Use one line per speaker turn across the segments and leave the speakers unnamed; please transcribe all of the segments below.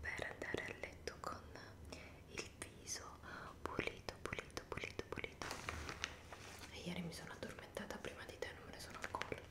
per andare a letto con il viso pulito, pulito, pulito, pulito. E ieri mi sono addormentata prima di te, non me ne sono accorta.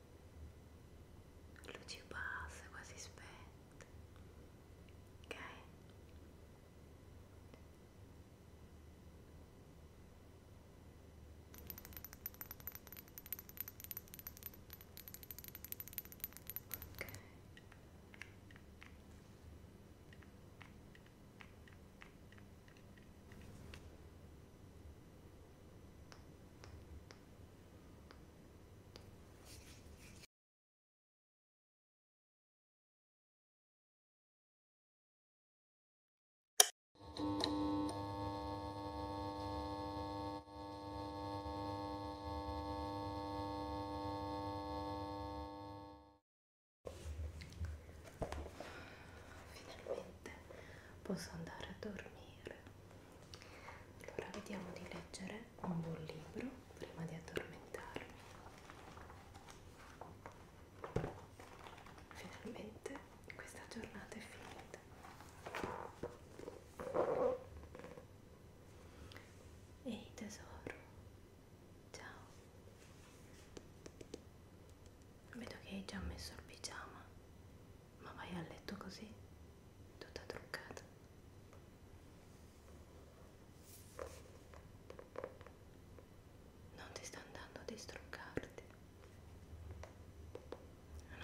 luci basse quasi spente ok ok ok Finalmente posso andare a dormire allora vediamo di leggere un buon libro prima di addormentarmi finalmente questa giornata è finita ehi tesoro ciao vedo che hai già messo il pigiama ma vai a letto così tutta truccata non ti sta andando di struccarti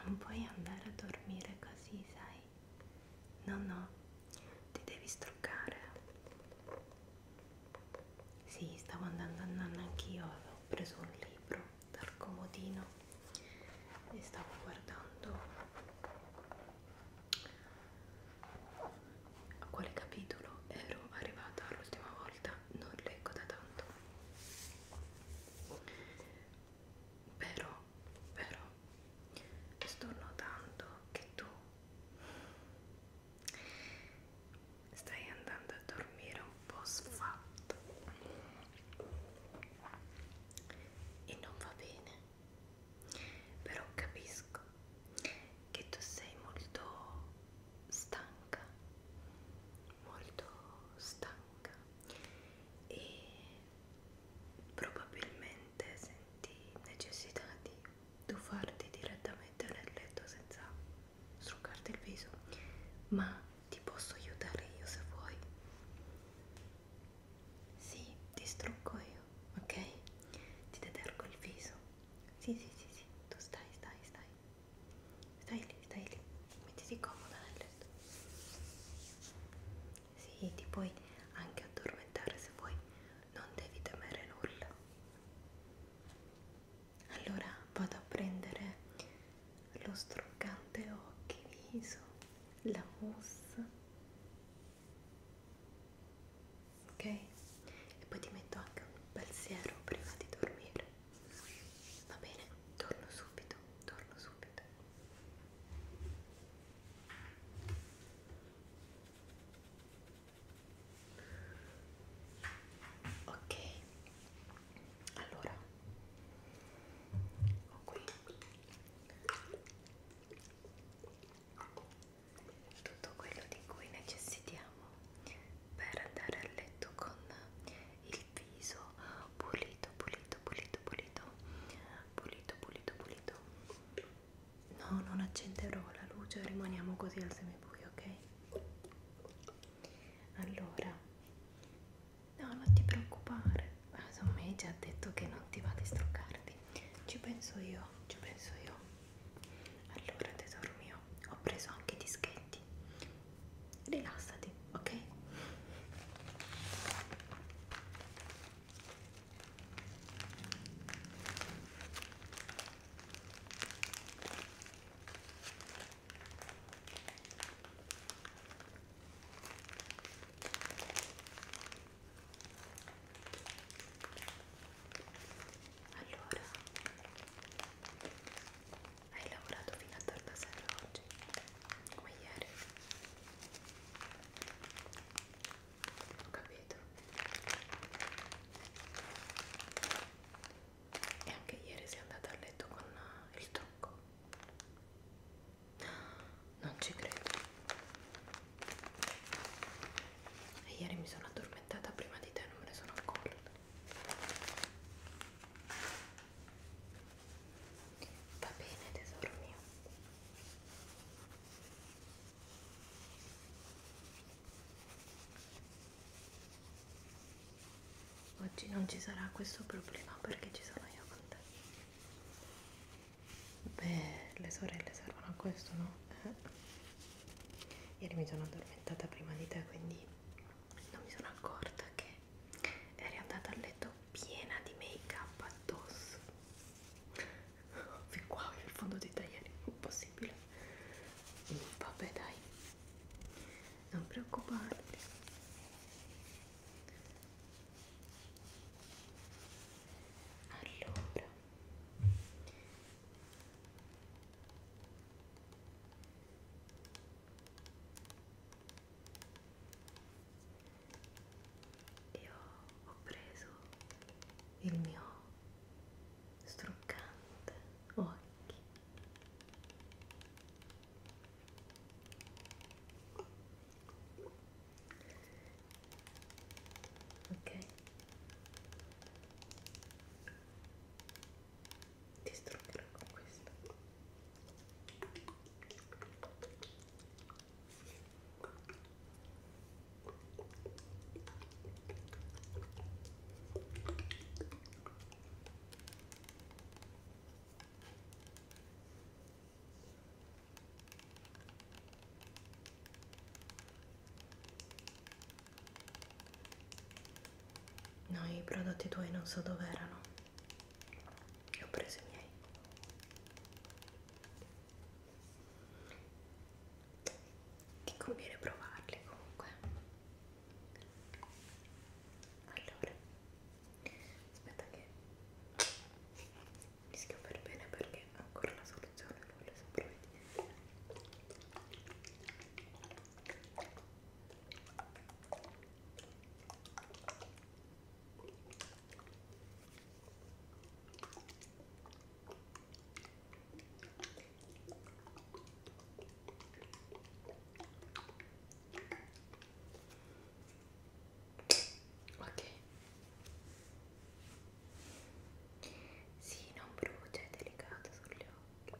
non puoi andare a dormire così sai no no ti devi struccare sì stavo andando a nanna anch'io avevo preso un libro dal comodino e stavo guardando a quale capitolo ero arrivata l'ultima volta non leggo da tanto però però sto notando che tu stai andando a dormire un un po' sfatto e non va bene però capisco che tu sei molto stanca molto stanca e probabilmente senti necessità di tuffarti direttamente nel letto senza struccarti il viso ma ti posso aiutare io se vuoi. Sì, ti strucco io, ok? Ti detergo il viso. Sì, sì, sì, sì, tu stai, stai, stai. Stai lì, stai lì. Mettiti comoda nel letto. Sì, ti puoi anche addormentare se vuoi. Non devi temere nulla allora vado a prendere lo struccante occhi viso la mousse ok e poi ti metto anche un bel siero prima di dormire va bene torno subito torno subito ok allora ho qui tutto quello di cui necessitiamo per andare a letto con il viso pulito pulito pulito pulito pulito pulito pulito no non accenderò la luce rimaniamo così al semibuio ok allora no non ti preoccupare insomma hai già detto che non ti va di struccarti ci penso io ci penso io allora tesoro mio ho preso anche i dischetti rilassati ok allora, hai lavorato fino a tarda sera oggi, come ieri? Ho capito e anche ieri sei andata a letto con eh, il trucco non ci credo e ieri mi sono addormentata prima di te non me ne sono accorta va bene tesoro mio Oggi non ci sarà questo problema perché ci sono io con te. Beh, le sorelle servono a questo, no? Eh. Ieri mi sono addormentata prima di te, quindi non mi sono accorta che eri andata a letto piena di make-up addosso. Fin qua, il fondo di te ieri, impossibile. Mm, vabbè dai non preoccuparti allora io ho preso il mio struccante occhi ok ti struggerò con questo No, i prodotti tuoi non so dove erano. Io ho preso i miei ti conviene provarli comunque allora aspetta che li schio per bene perché ancora la soluzione non le so provvedere ok ok sì, non brucia, è delicato sugli occhi ok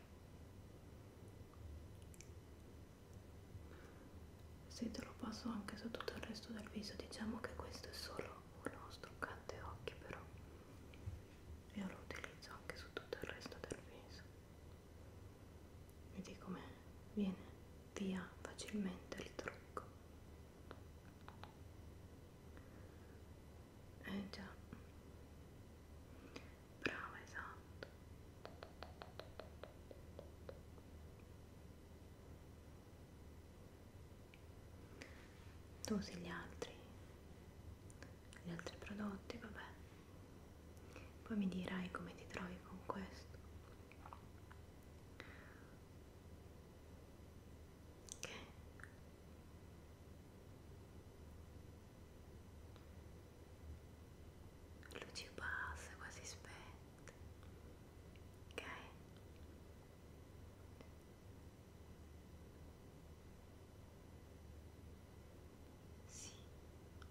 se te lo passo anche su tutto il resto del viso diciamo che questo è solo uno struccante occhi però io lo utilizzo anche su tutto il resto del viso vedi come viene via facilmente il trucco eh già brava esatto tu usi gli altri gli altri prodotti vabbè poi mi dirai come ti trovi con questo ok luci basse quasi spente ok sì ok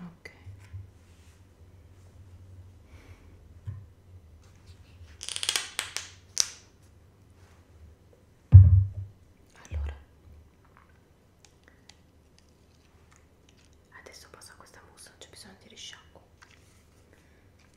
Ok. Allora. Adesso passo a questa mousse, non c'è bisogno di risciacquo.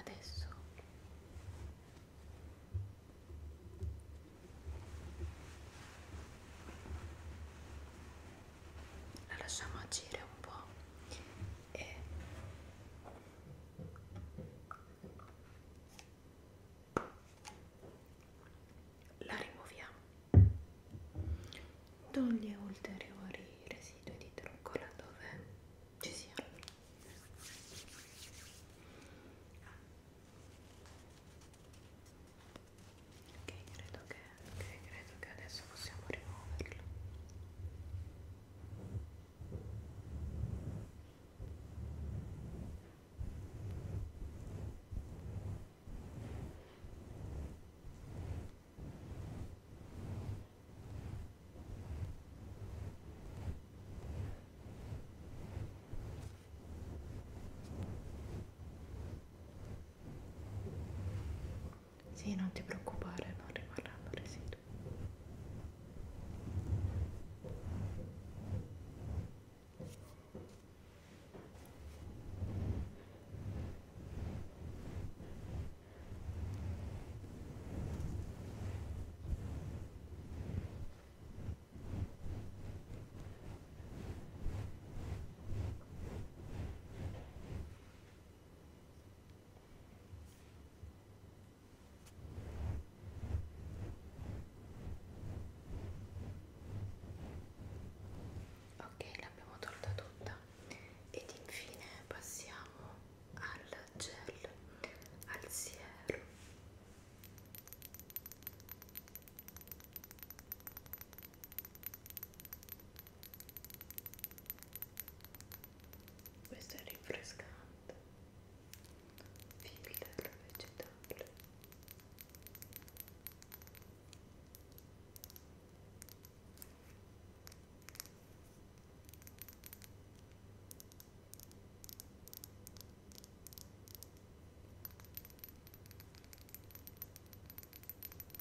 Adesso la lasciamo agire un po' e la rimuoviamo toglie ulteriori residui di truccola dove ci siano ok credo che che credo che adesso possiamo rimuoverlo sì, non ti preoccupare, non rimarranno residui. Ora ok l'abbiamo tolta tutta ed infine passiamo al gel al siero questo è rinfrescante filtro vegetale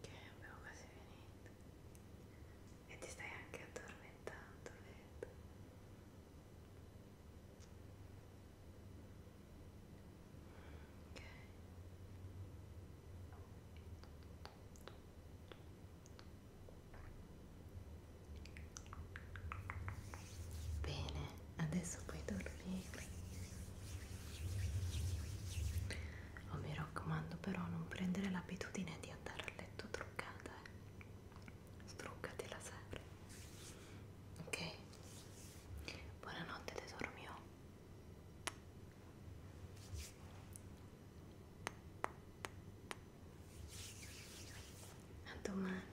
che abbiamo quasi finito e ti stai anche addormentando vedo ok Bene, adesso puoi dormire oh, mi raccomando però non prendere l'abitudine di andare a letto truccata eh. struccati la sera ok buonanotte tesoro mio a domani